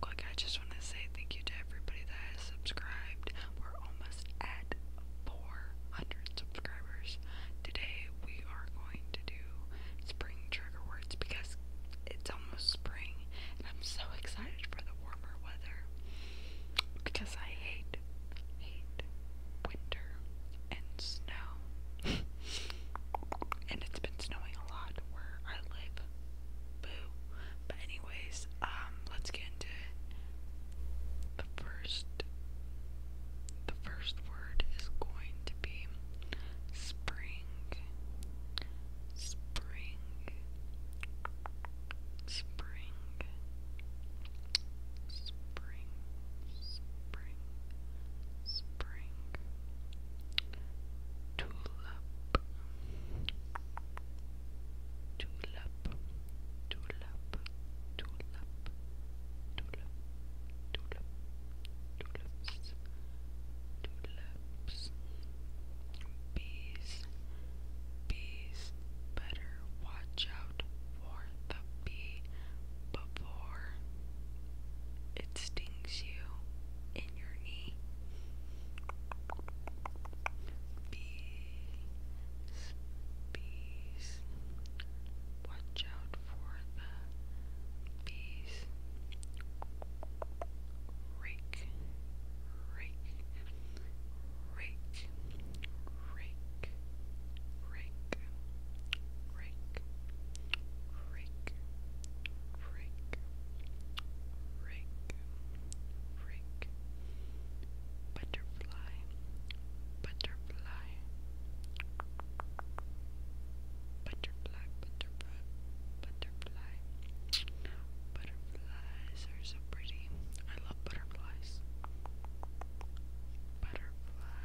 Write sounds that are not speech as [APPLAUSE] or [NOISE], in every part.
quick, I just want to say thank you to everybody that has subscribed. We're almost at 400 subscribers. Today we are going to do spring trigger words because it's almost spring and I'm so excited for the warmer weather because I hate, hate winter and snow. [LAUGHS] and it's been snowing a lot where I live. Boo. But anyways, um, let's get into it. The first the first word is going to be spring. Spring. Spring. Spring. Spring. Spring tulip, tulip, tulip, tulip, tulip, tulip, tulips, tulips, bees, bees, better watch out for the bee before it stings you in your knee. Bees, bees, watch out for the bees. Rake, rake, rake, rake, rake, rake, rake, Rick, Rick, Rick, butterfly, butterfly, butterfly, butterfly. Butterflies are so pretty. I love butterflies. Butterfly,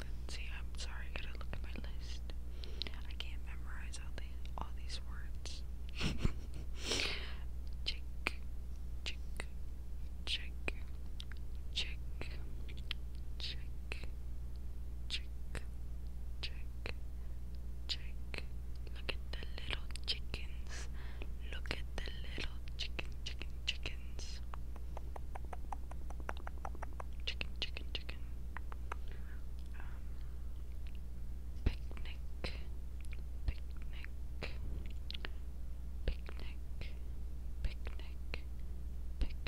see, I'm sorry, I gotta look at my list. I can't memorize all these all these words. [LAUGHS] chick, chick, chick, chick, chick, chick, chick, chick. Look at the little chickens. Look at the little chicken, chicken, chickens. Chicken, chicken, chicken. Um, picnic, picnic, picnic, picnic, picnic, picnic,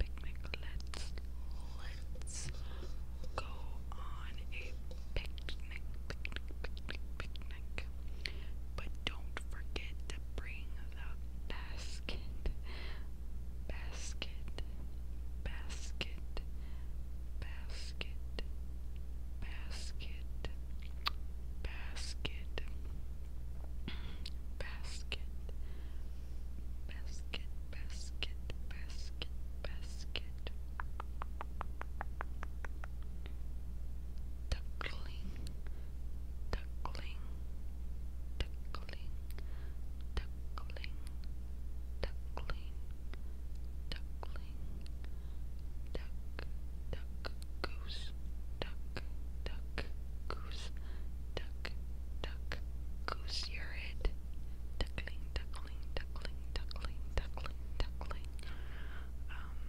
picnic. Let's let's go on a picnic picnic. But don't forget to bring the basket, basket, basket, basket, basket, basket, basket. Basket, basket, basket, basket. Duckling, duckling, duckling, duckling, duckling, duckling, duck, duck, goose, duck, duck, goose, duck, duck, goose, you're it. Duckling, duckling, duckling, duckling, duckling, duckling. Um,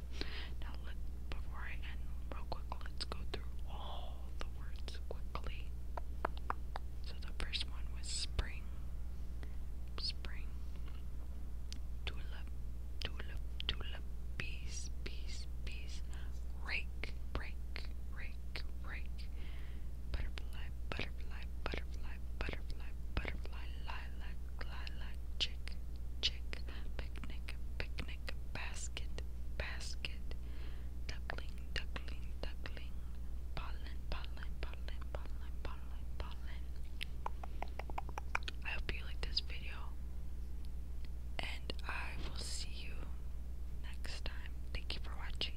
now, let, before I end, real quick, let's go through all the words quickly. So, the first one was spring. Spring. Tulip, tulip, tulip. Bees, bees, bees. Rake, rake, rake, rake. Butterfly, butterfly, butterfly, butterfly, butterfly. Lilac, lilac, chick, chick, picnic, picnic, basket, basket, duckling, duckling, duckling, pollen, pollen, pollen, pollen, pollen, I hope you like this video, and I will see you next time. Thank you for watching.